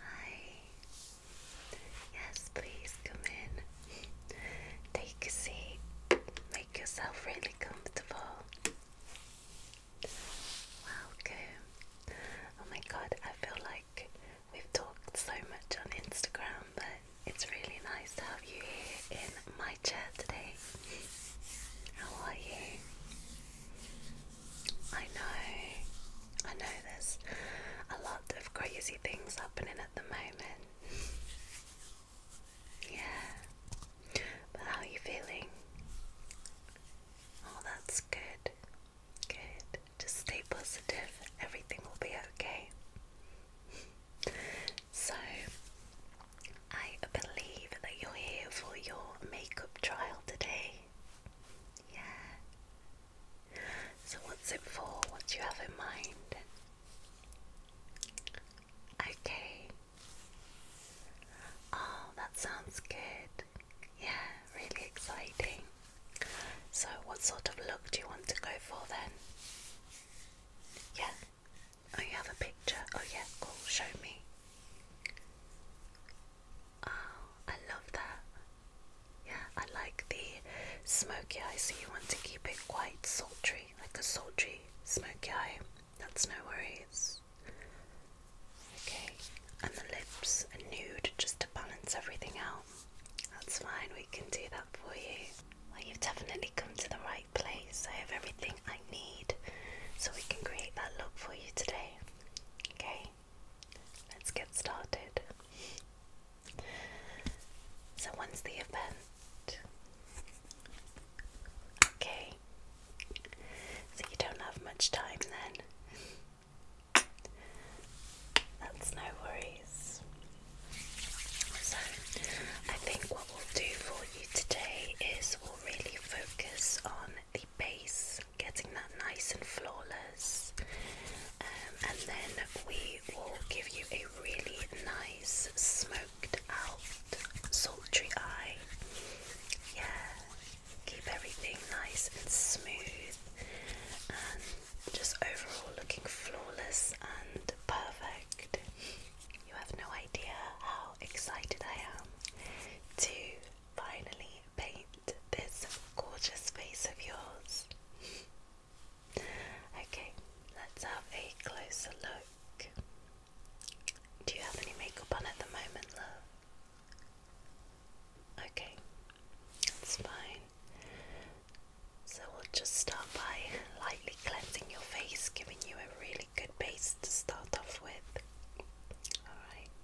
Hi. Yes, please come in. Take a seat. Make yourself really comfortable. Welcome. Oh my god, I feel like we've talked so much on Instagram, but it's really nice to have you here in my chair today. How are you? I know, I know there's a lot of crazy things happening at the moment. Yeah, but how are you feeling? Oh, that's good. Good. Just stay positive, everything will be okay. So, I believe that you're here for your makeup trial today. Yeah. So, what's it for? What do you have in mind? Okay. Oh, that sounds good. Yeah, really exciting. So, what sort of look do you want to go for then? Yeah. Oh, you have a picture? Oh, yeah, cool. Show me. Oh, I love that. Yeah, I like the smoky eye, so you want to keep it quite sultry, like a sultry smoky eye. That's no worries. Okay, and the lips are nude just to balance everything out. That's fine, we can do that for you. you've definitely come to the right place. I have everything I need so we can create that look for you today. Okay, let's get started. So, when's the event? Okay, so you don't have much time then. That's no worries. So, I think what we'll do for you today is we'll really focus on the base, getting that nice and flawless. Um, and then we will give you a really nice smoked out sultry eye. Yeah, keep everything nice and smooth and just overall looking flawless and perfect. You have no idea how excited I am to finally paint this gorgeous face of yours. okay, let's have a closer look. Do you have any makeup on at the moment, love? Okay, that's fine. So we'll just start by lightly cleansing your face, giving you a really good base to start off with. Alright.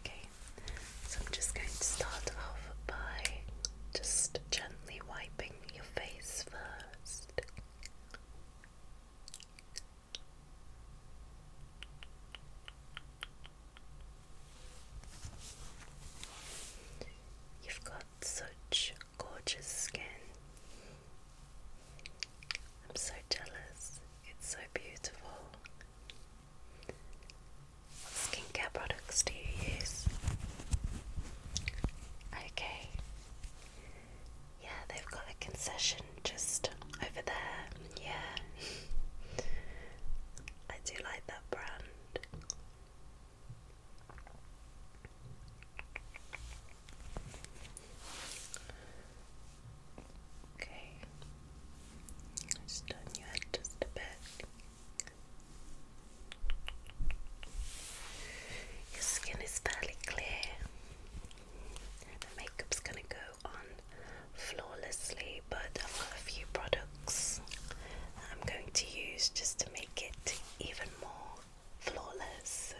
Okay, so I'm just going to start off by just gently wiping your face first. You've got such gorgeous skin. I'm so jealous. It's so beautiful. What skincare products do you use? Okay. Yeah, they've got a concession just over there. Yeah. I do like that brand. Okay. Just turn your head just a bit. Your skin is fairly clear. The makeup's gonna go on flawlessly, but I've got a few products I'm going to use just to make it even more flawless.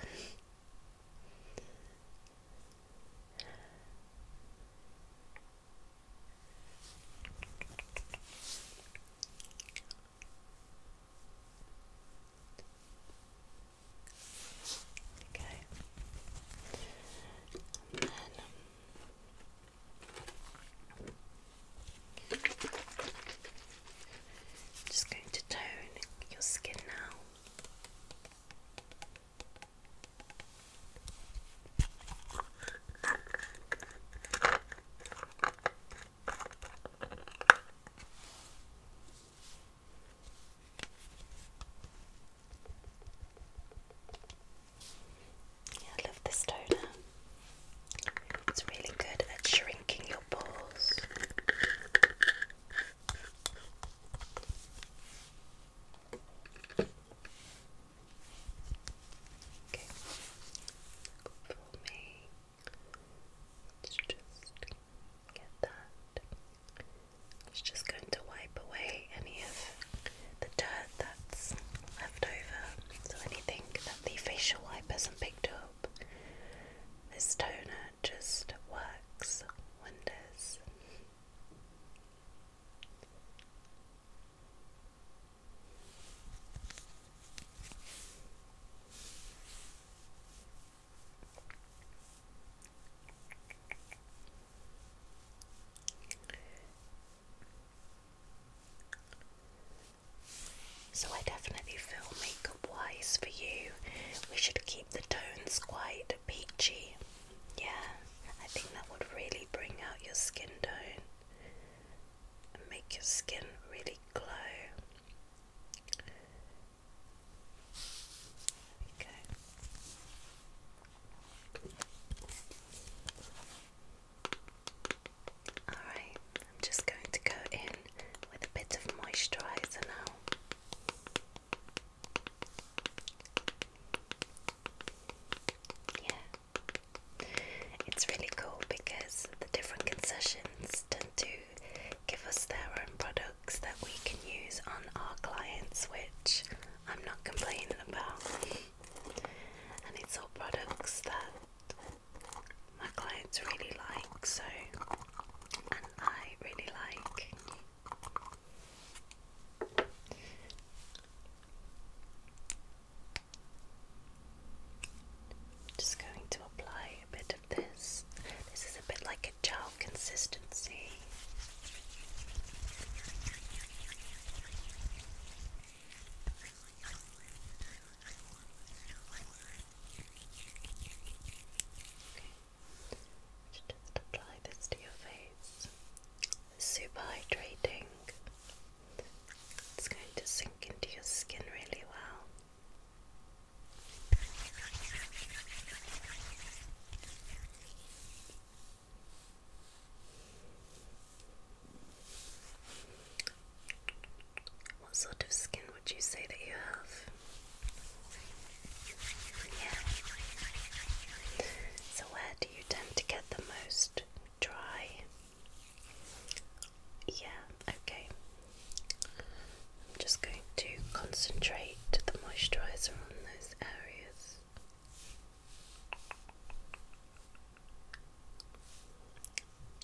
Okay. And just going to tone your skin now. Yeah, I love this toner. It's really good at shrinking your pores. Okay. For me, let just get that. It's just going to wipe away any of the dirt that's left over. So anything that the facial wipe hasn't picked up. This toner just works wonders. So, I definitely feel makeup wise for you, we should keep the tones quite peachy yeah, I think that would really bring out your skin tone and make your skin really glow. There Alright, I'm just going to go in with a bit of moisturiser now. Yeah, it's really cool because the different concessions tend to give us their own products that we can use on our clients, which I'm not complaining about. And it's all products that my clients really like, so, and I really like. Just going to apply a bit of this. This is a bit like a gel consistency. Just apply this to your face. Super hydrating. It's going to sink into your skin really well. What sort of skin would you say that you have? So, where do you tend to get the most dry? Yeah, okay. I'm just going to concentrate the moisturiser on those areas.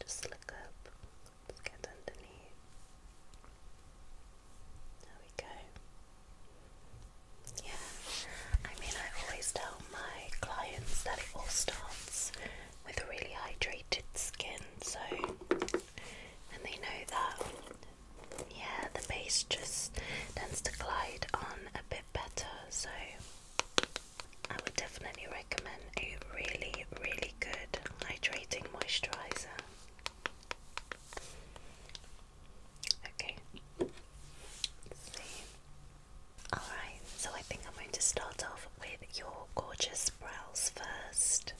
Just look up, let's get underneath. There we go. Yeah, I mean, I always tell my clients that it all starts with a really hydrated skin, so, and they know that, yeah, the base just tends to glide on a bit better, so I would definitely recommend a really, really good hydrating moisturizer. Okay. see. Alright, so I think I'm going to start off with your gorgeous brows first.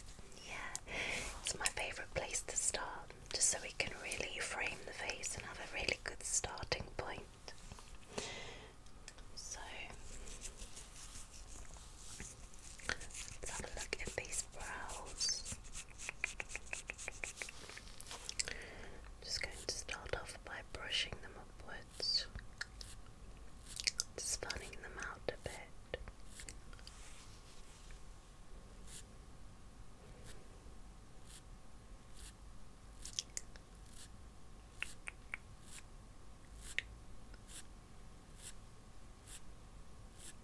Yeah, it's my favourite place to start, just so we can really frame the face and have a really good starting point. So, let's have a look at these brows. Just going to start off by brushing them upwards, just fanning them out a bit. Perfect.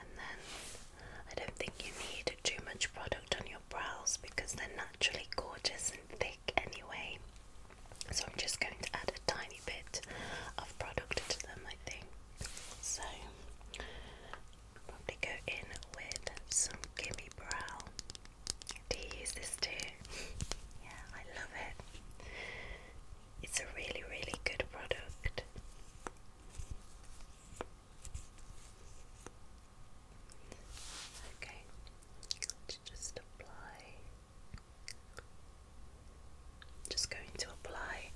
And then I don't think you need too much product on your brows because they're naturally gorgeous and thick anyway. So I'm just going to add a tiny bit of product to them, I think. So probably go in with some Gimme Brow. Do you use this too? yeah, I love it. It's a really, really good product. Okay, let's just apply. Just going to apply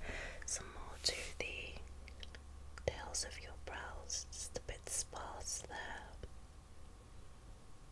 some more to the tails of your brows, just a bit sparse there.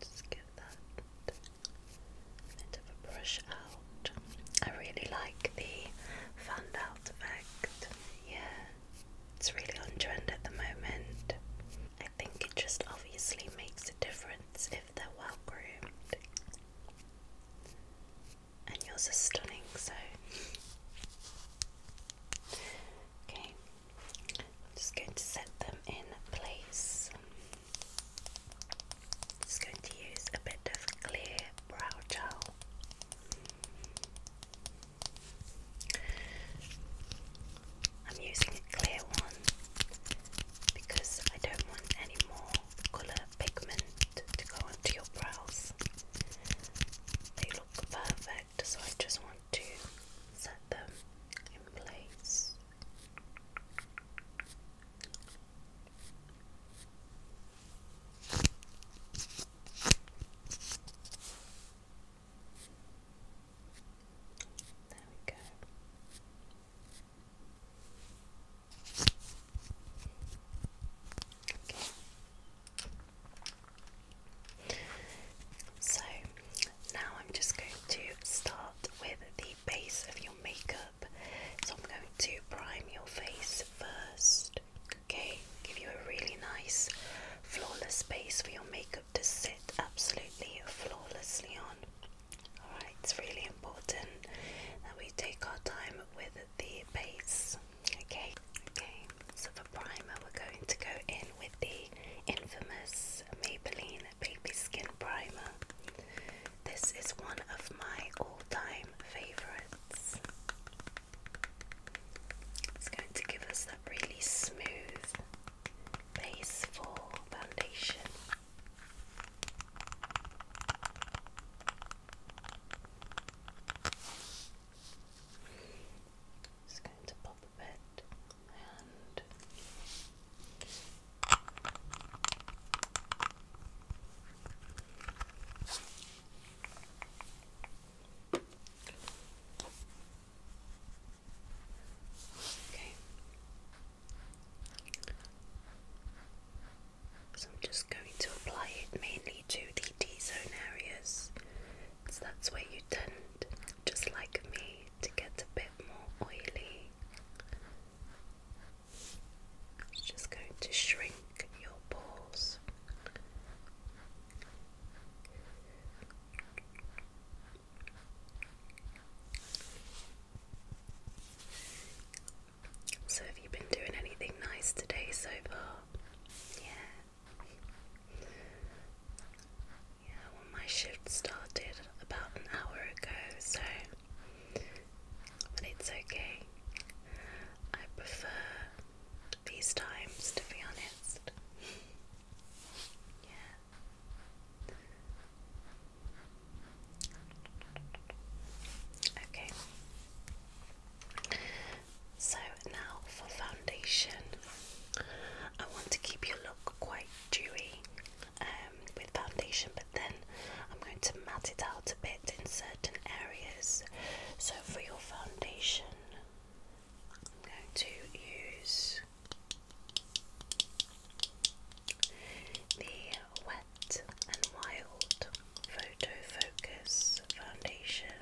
Just give that bit of a brush out. I really like the fanned out effect. Yeah, it's really on trend at the moment. I think it just obviously makes a difference if they're well groomed and yours are stunning, so okay, just going to set them in place. Just going to use a bit of clear brow gel. I'm using a clear one because I don't want any more colour pigment to go onto your brows. They look perfect, so I just want to set them in place. There we go. Okay. So now I'm just going to start with the base of your makeup. So I'm going to prime your face first, okay? Give you a really nice, flawless base for your makeup to sit absolutely flawlessly on. Alright, it's really important that we take our time with the base. Okay, okay. So for primer, we're going to go in with the infamous Maybelline Baby Skin Primer. This is one of my all-time favorites. It's going to give us that really smooth base for foundation. Just going to pop a bit and Okay. So I'm just going to apply it mainly to the T-zone areas. So that's where you tend, just like me, to get a bit more oily. It's just going to shrink your pores. So, have you been doing anything nice today so far? Yeah. Yeah, well, my shift started about an hour ago, so. But it's okay. I prefer these times, to be honest. yeah. Okay. So now for foundation, I want to keep your look quite dewy um, with foundation, but then I'm going to matte it out a bit in certain areas. So for your foundation, I'm going to use the Wet and Wild Photo Focus Foundation.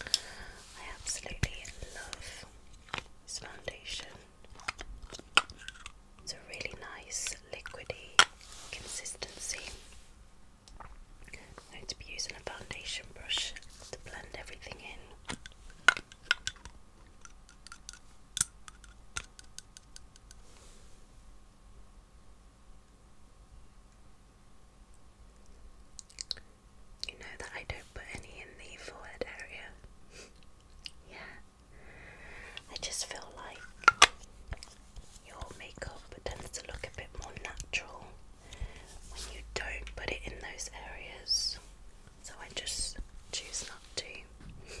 I absolutely love this foundation. It's a really nice liquidy consistency. going to be using a foundation brush to blend everything in. You know that I don't put any in the forehead area. yeah. I just feel like your makeup tends to look a bit more natural when you don't put it in those areas. So I just choose not to.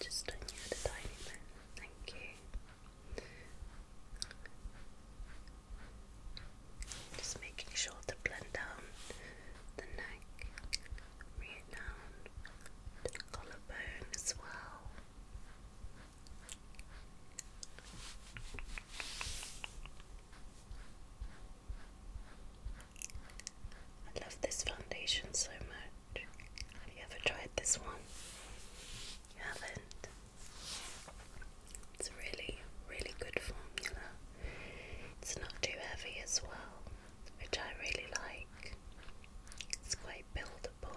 Just on you a tiny bit. Thank you. Just making sure to blend down the neck, bring down the collarbone as well. I love this foundation so much. Have you ever tried this one? You haven't? It's a really, really good formula. It's not too heavy as well, which I really like. It's quite buildable.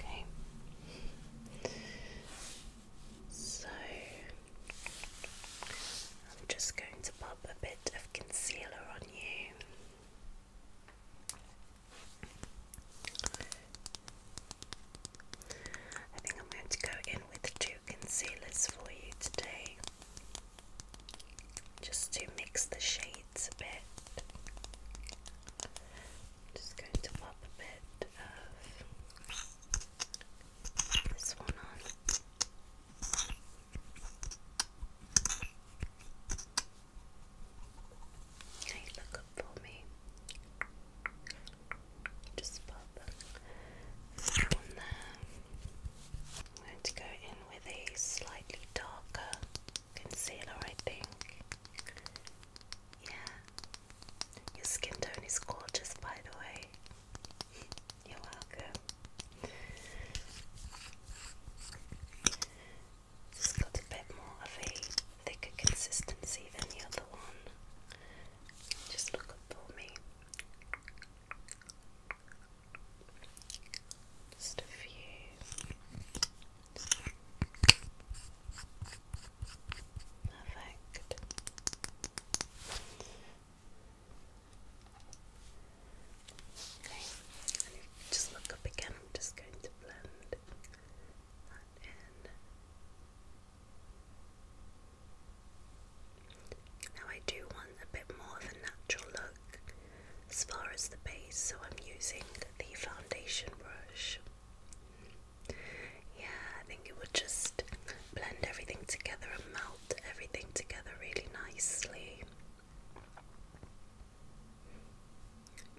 Okay. So I'm just going to pop a bit of concealer on you. I think I'm going to go in with two concealers for you today just to mix the shades a bit. just going to pop a bit this one on. Okay, look up for me. Just pop that one there. I'm going to go in with a slightly darker concealer, I think. Yeah, your skin tone is gorgeous, by the way. You're welcome. It's got a bit more of a thicker consistency than the other one. Just look up for me. Just a few. Perfect. just look up again, I'm just going to blend that in. Now, I do want a bit more of a natural look as far as the base, so I'm using the foundation brush. Yeah, I think it would just blend everything together and melt everything together really nicely.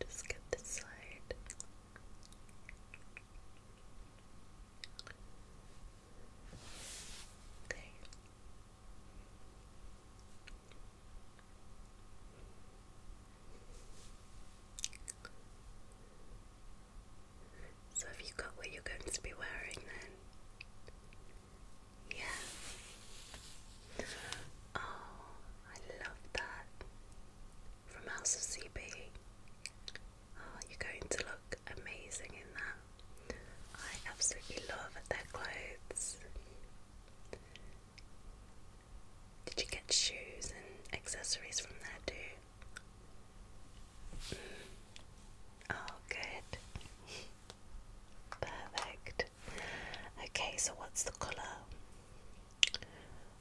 Just get this side. Okay. So have you got what you're going to be wearing then? Yeah. Oh, I love that. From House of CB. Oh, you're going to look amazing in that. I absolutely love their clothes. Did you get shoes and accessories from there too? Oh, good. Perfect. Okay, so what's the colour?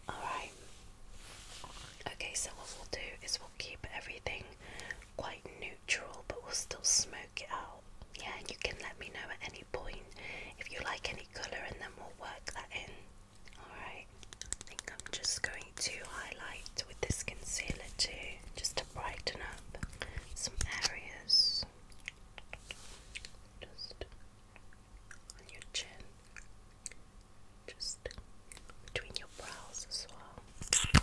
Alright. Okay, so what we'll do is we'll keep everything quite neutral, but we'll still smoke it out. Yeah, and you can let me know at any point if you like any colour, and then we'll work that in. Alright, I think I'm just going to highlight with this concealer too, just to brighten up some areas. Just on your chin, just between your brows as well.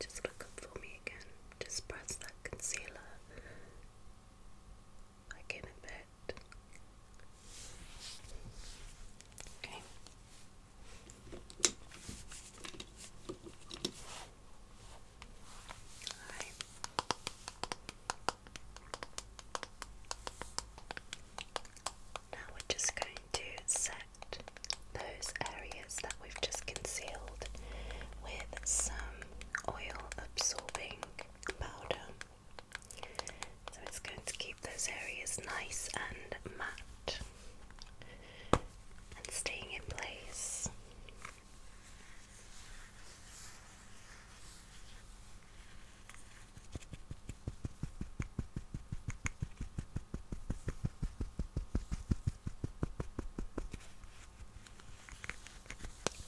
just look up for me again. Just press that concealer like in a bit. Okay. Alright. Now we're just going to set those areas that we've just concealed with some oil absorbing powder. So it's going to keep those areas nice and matte and staying in place.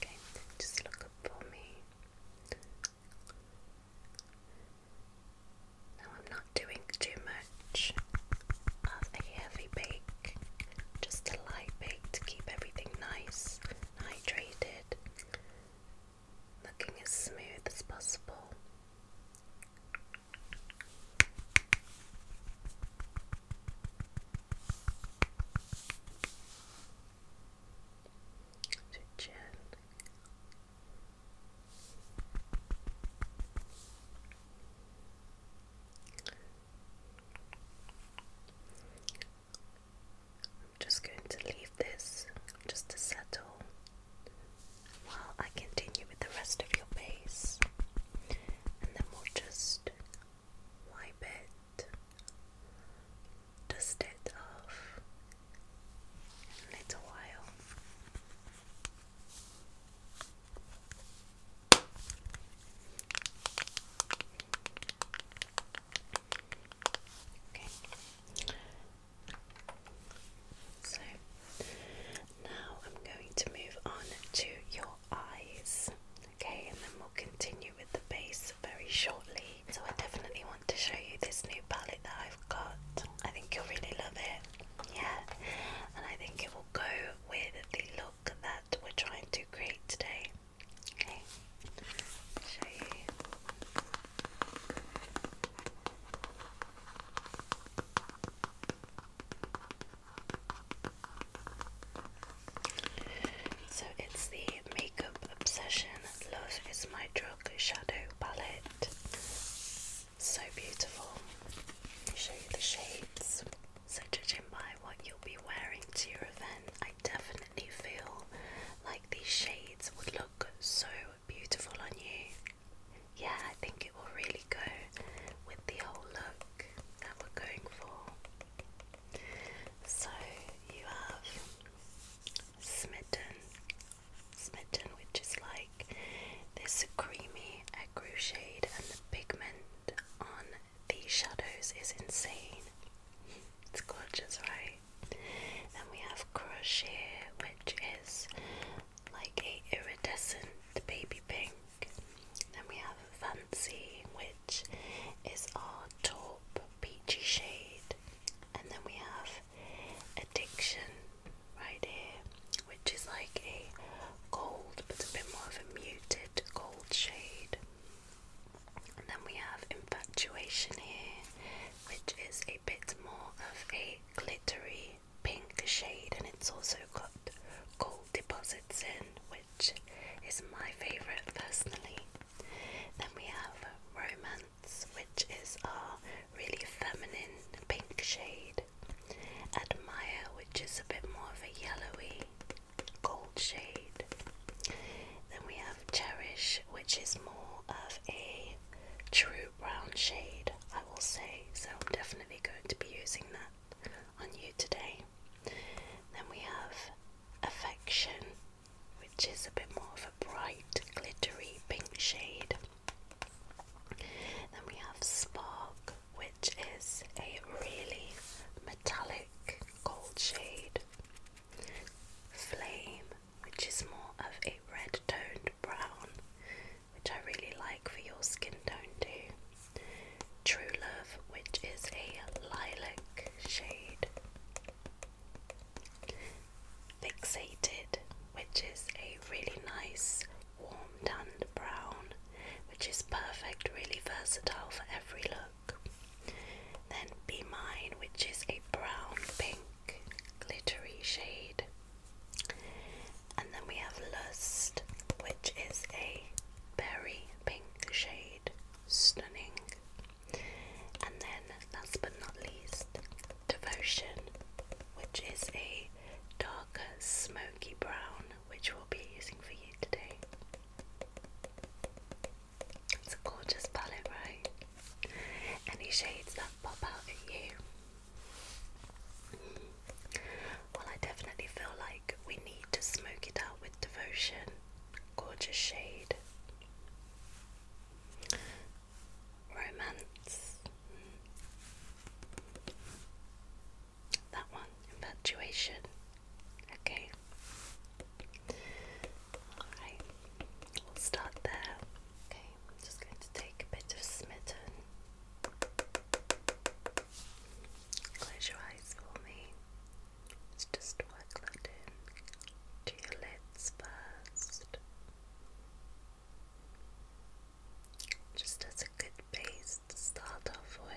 Okay, just look up for me. Now I'm not doing too much of a heavy bake, just a light bake to keep everything nice hydrated looking as smooth as possible. To chin. I'm just going to leave this just to settle while I continue with the rest of your base, and then we'll just wipe it, dust it off in a while. Okay. So now I'm going to move on to your eyes. Okay, and then we'll continue with the base very shortly. So I definitely want to show you this new palette that I've got. I think you'll really love it. Yeah. And I think it will go with the look that we're trying to create today. Okay. Show you. So it's the Makeup Obsession Love is My Drug Shadow Palette. So beautiful. Show you the shades. So, judging by what you'll be wearing to your event, I definitely feel like these shades would look so beautiful on you. Yeah, I think it will really go with the whole look that we're going for. So you have smitten, smitten, which is like this creamy aggro shade, and the pigment on the shadows is insane. It's gorgeous, right? Then we have crochet, which is like a iridescent baby pink. Then we have fancy, which is our top peachy shade. And then we have addiction right here, which is like a gold, but a bit more of a muted gold shade. And then we have infatuation here, which is a bit more of a glittery pink shade, and it's also got gold deposits in, which is my favorite personally. Then we have Romance, which is our really feminine pink shade, Admire, which is a bit more of a yellowy gold shade. Then we have Cherish, which is more of a true brown shade, I will say, so I'm definitely going to be using that on you today. Then we have Affection, which is a bit more of a bright, glittery pink shade. Then we have Spark, which is a really metallic gold shade. Flame, which is more of a red toned brown, which I really like for your skin tone too. True Love, which is a lilac shade. Fixated, which is a really nice warm toned brown, which is perfect, really versatile for every look. Then Be Mine, which is a brown pink glittery shade. And then we have Lust, which is a berry pink shade. Stunning. And then, last but not least, Devotion, which is a darker smoky brown, which we'll be using for you today. It's a gorgeous palette, right? Any shades that pop out at you? Well, I definitely feel like we need to smoke it out with devotion. Gorgeous shade. Romance. That one. Infatuation. Okay. Alright. We'll start there. Okay, I'm just going to take a bit of smitten. Close your eyes for me. Let's just work that in to your lids first. Just as a good base to start off with.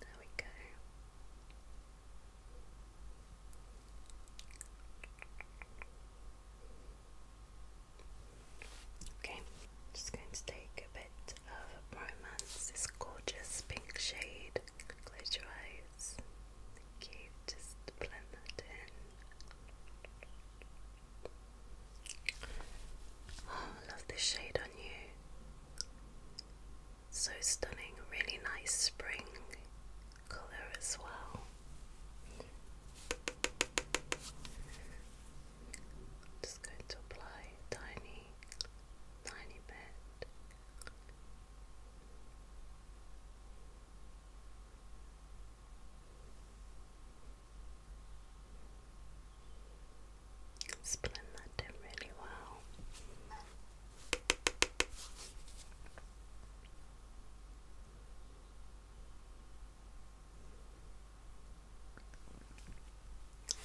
There we go. Okay, just going to take a bit of romance, this gorgeous pink shade Close your eyes. Just blend that in. Oh, love this shade on you. So stunning. Really nice spring colour as well. Just going to apply tiny tiny bit. Blend that in really well.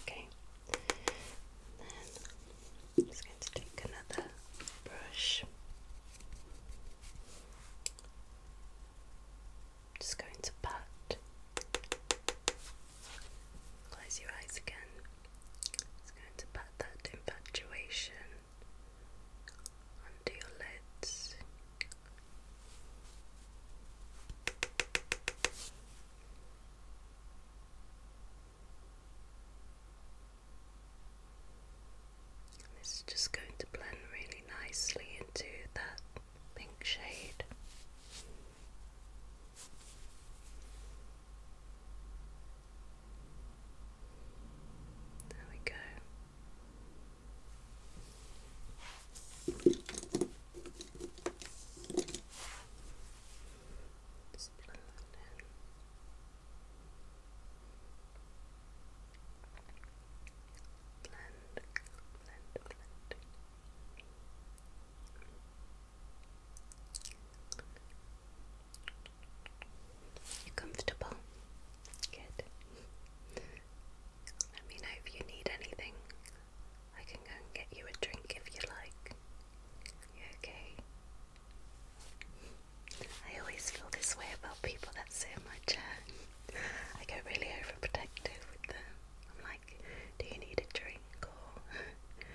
Okay, then just going to take another brush. Just going to pat. Close your eyes again. It's going to pat that infatuation onto your lids. And this is just going to blend really nicely into that pink shade. There we go. Just blend that in. You're comfortable? Good. Let me know if you need anything. I can go and get you a drink if you like. okay? I always feel this way about people that sit in my chair. I get really overprotective with them. I'm like, do you need a drink or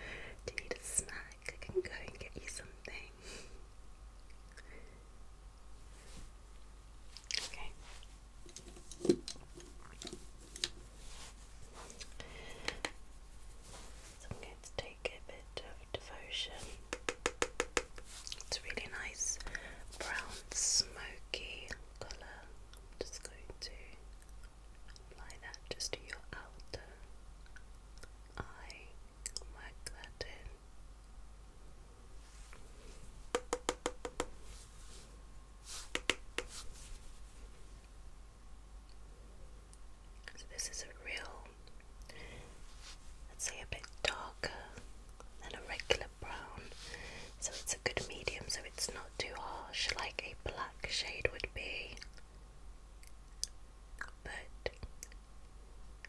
do you need a snack? I can go and get you something. Okay. So I'm take a devotion. It's really nice brown smoky color just going to apply that just to your outer eye. Work that in. So this is a real, let's say a bit darker than a regular brown. So it's a good medium, so it's not too harsh like a black shade would be. But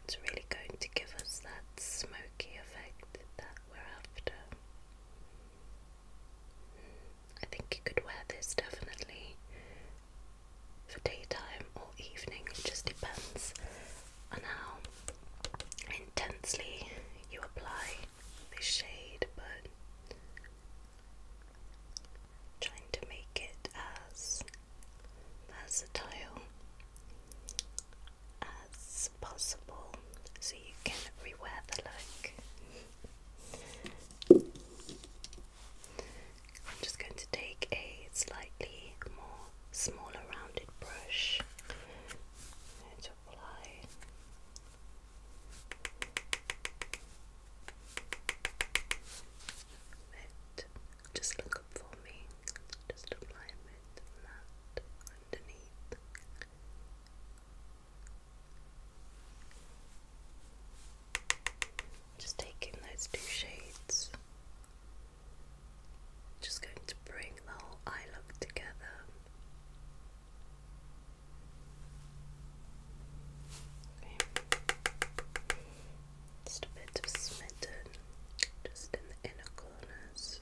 it's really going to give us that smoky effect that we're after. I think you could wear this definitely for daytime or evening. It just depends on how intensely you apply the shade, but trying to make it as versatile as possible so you can rewear the look. I'm just going to take a slightly more smaller rounded brush to apply. It just look up for me. Just apply a that underneath. Just taking those two shades, just going to bring the whole eye look together. Okay. Just a bit of just in the inner corners.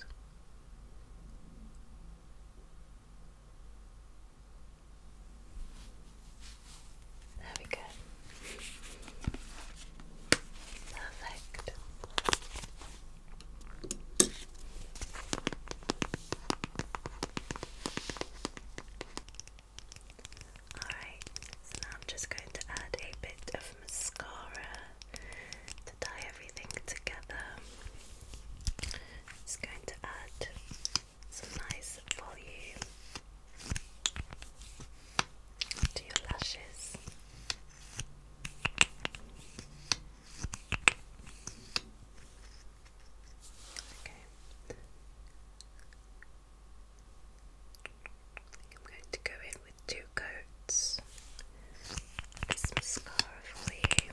There we go. Perfect. Alright, so now I'm just going to add a bit of mascara to tie everything together. Just going to add some nice volume to your lashes. Okay. I'm going to go in with two coats this mascara for you.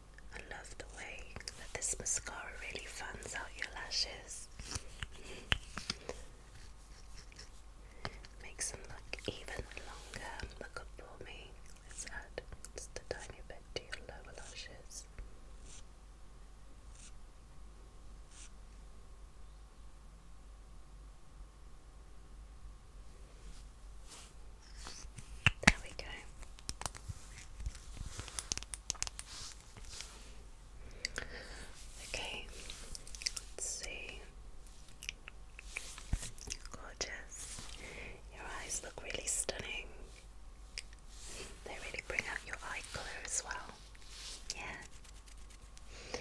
I love the way that this mascara really fans out your lashes. Makes them look even longer. Look up for me. Let's add just a tiny bit to your lower lashes. There we go. Okay, let's see. Gorgeous. Your eyes look really stunning. They really bring out your eye colour as well. Yeah.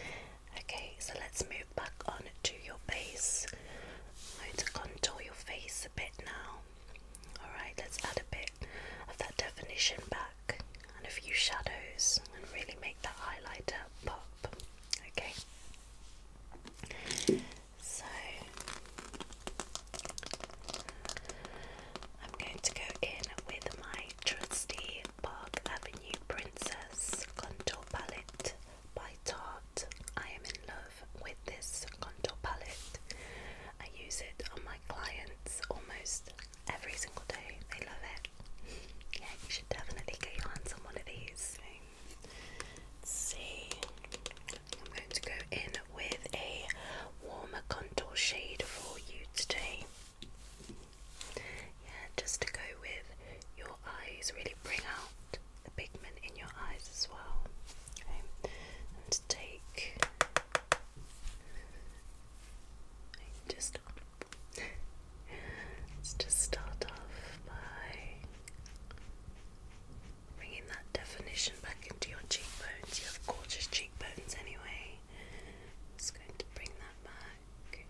Okay, so let's move back on to your base. I'm going to contour your face a bit now. Alright, let's add a bit of that definition back and a few shadows and really make that highlighter pop. Okay. So I'm going to go in with my trusty Park Avenue Princess contour palette by Tarte. I am in love with this contour palette. I use it on my clients almost every single day. They love it. Yeah, you should definitely get your hands one of these. see. I'm going to go in with a warmer contour shade for you today. Yeah, just to go with your eyes, really bring out the pigment in your eyes as well. Okay, and take just let's just start off by bringing that definition back into your cheekbones. You have gorgeous cheekbones anyway. just going to bring that back.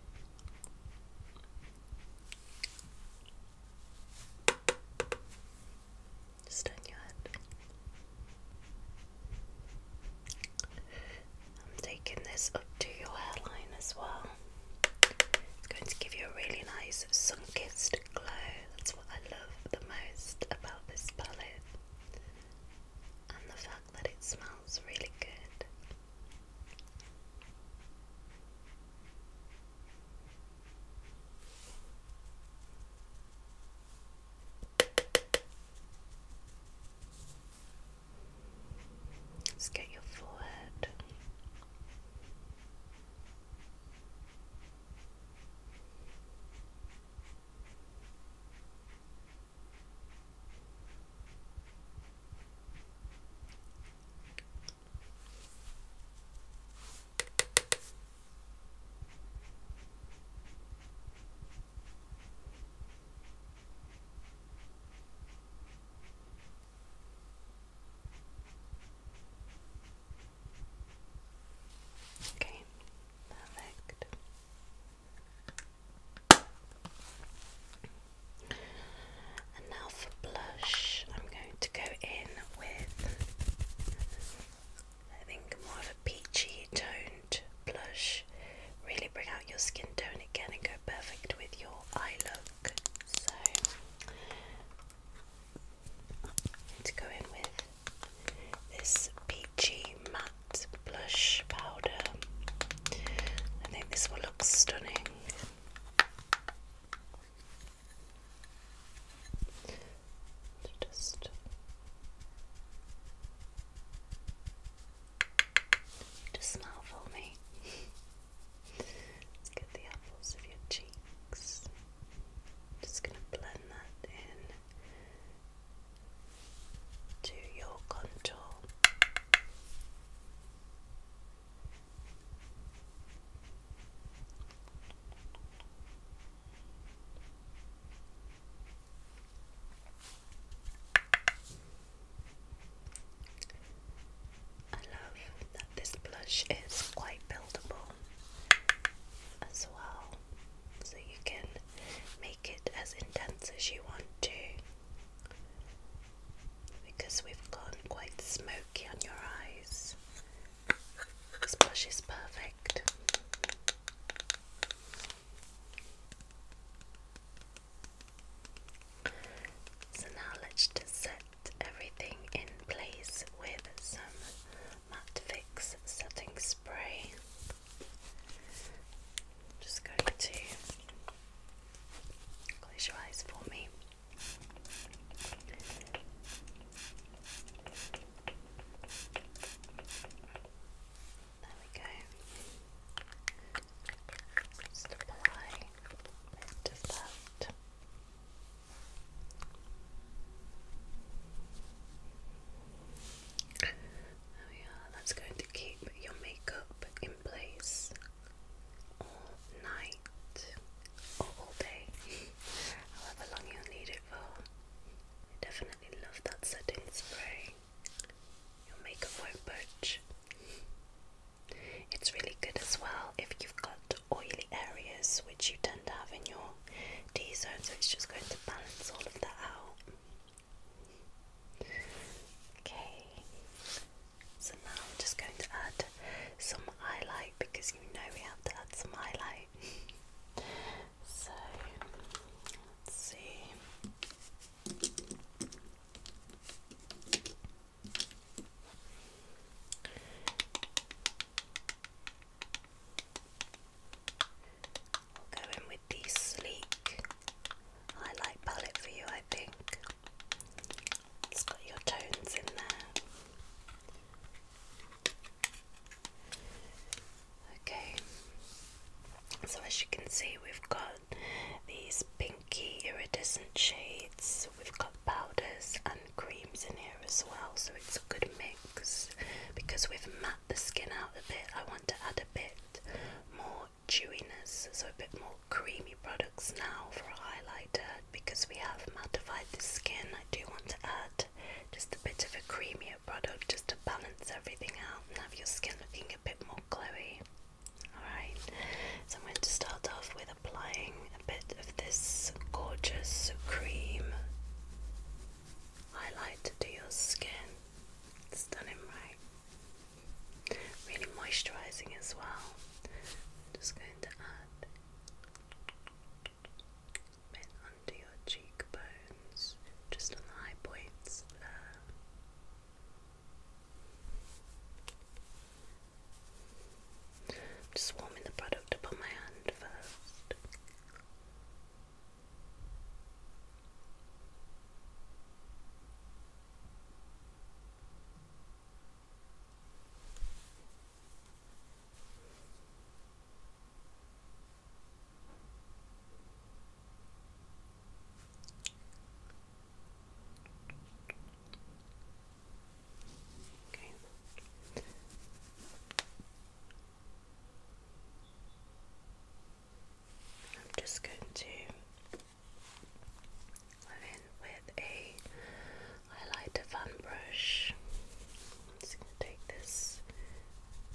Just on your head. I'm taking this up to your hairline as well. It's going to give you a really nice sun-kissed glow. That's what I love the most about this palette. And the fact that it smells really good. Let's get your forehead. Okay, perfect. And now for blush, I'm going to go in with I think more of a peachy toned blush. Really bring out your skin tone again and go perfect with your eye look. So let's go in with this peachy matte blush powder. I think this will look stunning just just smile for me. Let's get the apples of your cheeks. Just gonna blend that in to your contour. I love that this blush is quite buildable as well, so you can make it as intense as you want to. Because we've gone quite smoky on your eyes, this blush is perfect. So now let's set everything in place with some Matte Fix setting spray. I'm just going to close your eyes for me. There we go. Just apply a that. There we That's going to keep your makeup in place all night all day, however long you need it for. definitely really love that setting spray. Your makeup won't budge. It's really good as well if you've got oily areas, which you tend to have in your T zone, so it's just going to balance all of that out. Okay, so now I'm just going to add some highlight because you know we have to add some highlight. So let's see. We'll go in with the sleek highlight palette for you, I think. It's got your tones in there. Okay, so as you can see, we've got these pinky iridescent shades, we've got powders and creams in here as well, so it's a good mix because we've matte the skin out a bit. I want to add a bit more chewiness, so a bit more creamy products now for a highlighter because we have mattified the skin. I do want to add just a bit of a creamier product just to balance everything out and have your skin looking a bit more glowy. Alright, so I'm going to start off with applying a bit of this gorgeous cream highlight to your skin. Stunning, right? Really moisturising as well. just going to add under your cheekbones, just on the high points just warming the product up on my hand first. Okay. I'm just going to go in with a highlighter fan brush just going to take this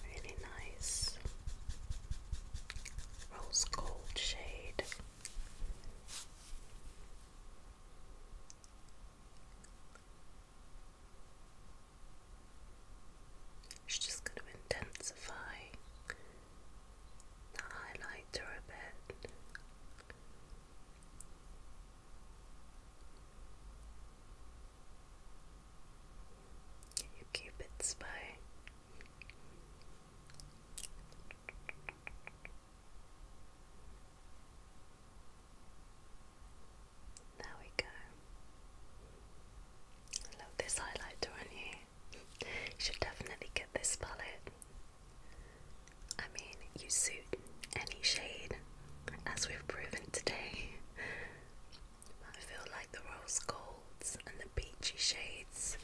really nice rose gold shade. It's just going to intensify the highlighter a bit. You Cupid's bow. There we go. love this highlighter on You should definitely get this palette. I mean, you suit any shade, as we've proven today. I feel like the rose golds and the peachy shades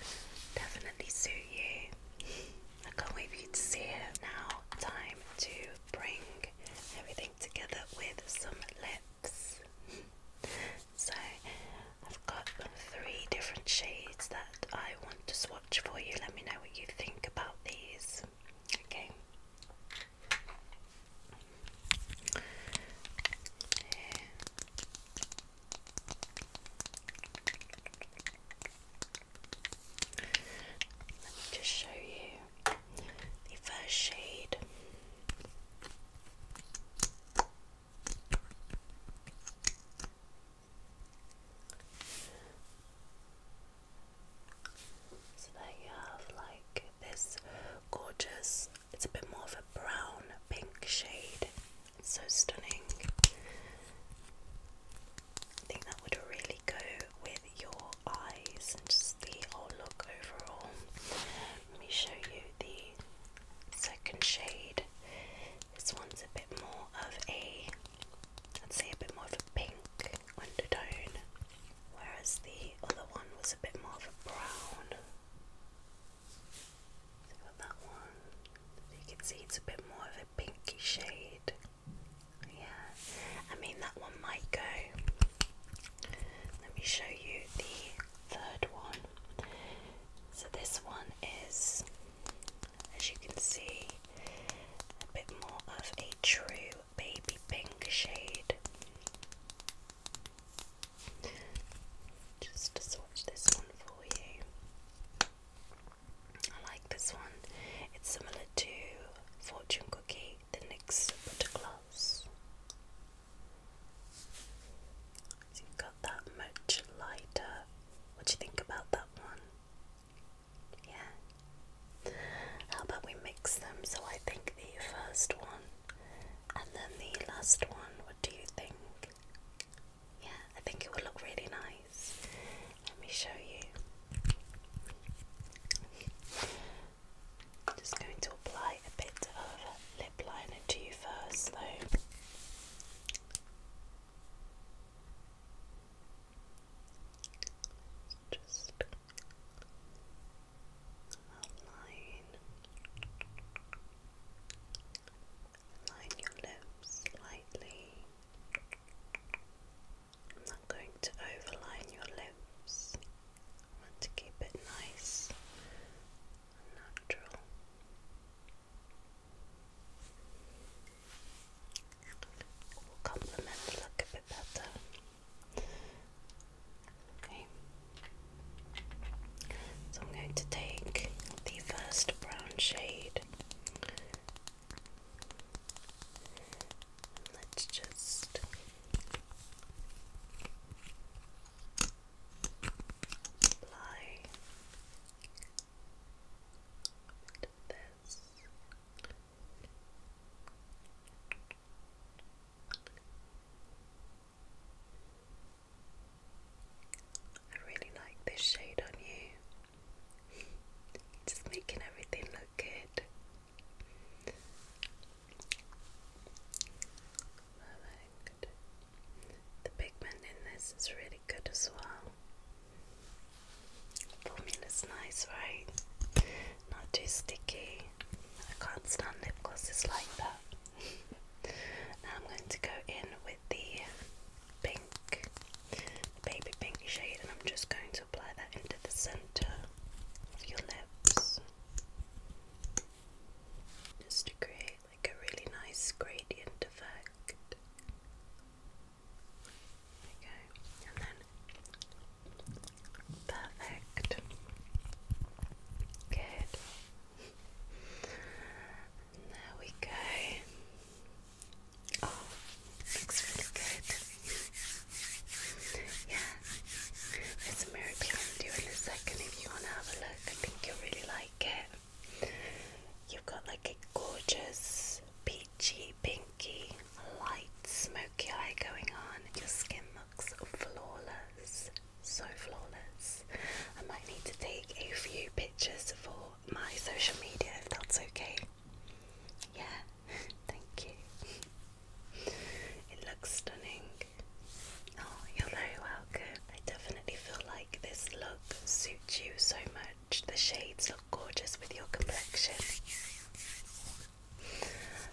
definitely suit you. I can't wait for you to see it. Now, time to bring everything together with some lips. so, I've got three different shades that I want to swatch for you. Let me know what you think about these. Okay. Let me just show you the first shade. So there you have like this gorgeous it's a bit more of a brown pink shade. so stunning. I think that would really go with your eyes and just the whole look overall. Let me show you the second shade. This one's a bit more of a, I'd say a bit more of a pink undertone, whereas the other one was a bit more of a brown. So that one. You can see it's a bit more of a pinky shade. Yeah, I mean that one might go. Let me show you the third one. So this one is, as you can see, a bit more of a true baby pink shade. Just to swatch this one for you. I like this one. It's similar to Fortune Cookie, the next Butter Gloss. So you got that much lighter. What do you think about that one? Yeah. How about we mix them? So I think the first one and then the last one, what do you think? Yeah, I think it will look really nice. Let me show you. just going to apply a bit of lip liner to you first, Just Outline. Line your lips slightly. I'm not going to overline your lips. I want to keep it nice and natural. It will complement the look a bit better. Okay. So I'm going to take the first brown shade. Let's just apply this. I really like this shade on you. Just making everything look good. Perfect. The pigment in this is really good as well. Formula's nice, right? Not too sticky. I can't stand lip glosses like that now I'm going to go in with the pink, baby pink shade, and I'm just going to apply that into the centre of your lips. Just to create like a really nice gradient effect. Okay, and then Perfect. Good. there we go. Oh, looks really good. yeah. It's a miracle I'm doing a second if you wanna have a look. I think you'll really like it. You've got like a gorgeous peachy pinky light smoky eye going on. Your skin looks flawless so flawless. I might need to take a few pictures for my social media if that's okay. Yeah, thank you. It looks stunning. Oh, you're very welcome. I definitely feel like this look suits you so much. The shades look gorgeous with your complexion.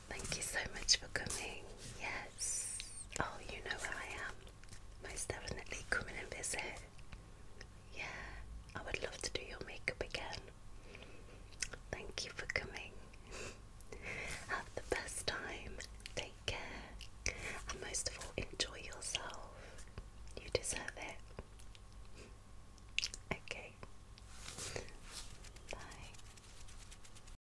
Thank you so much for coming. Yes. Oh, you know where I am. Most definitely coming and visit. Yeah, I would love to do your makeup again. Thank you for coming. Have the best time. Take care. And most of all, enjoy yourself. You deserve it. Okay. Bye.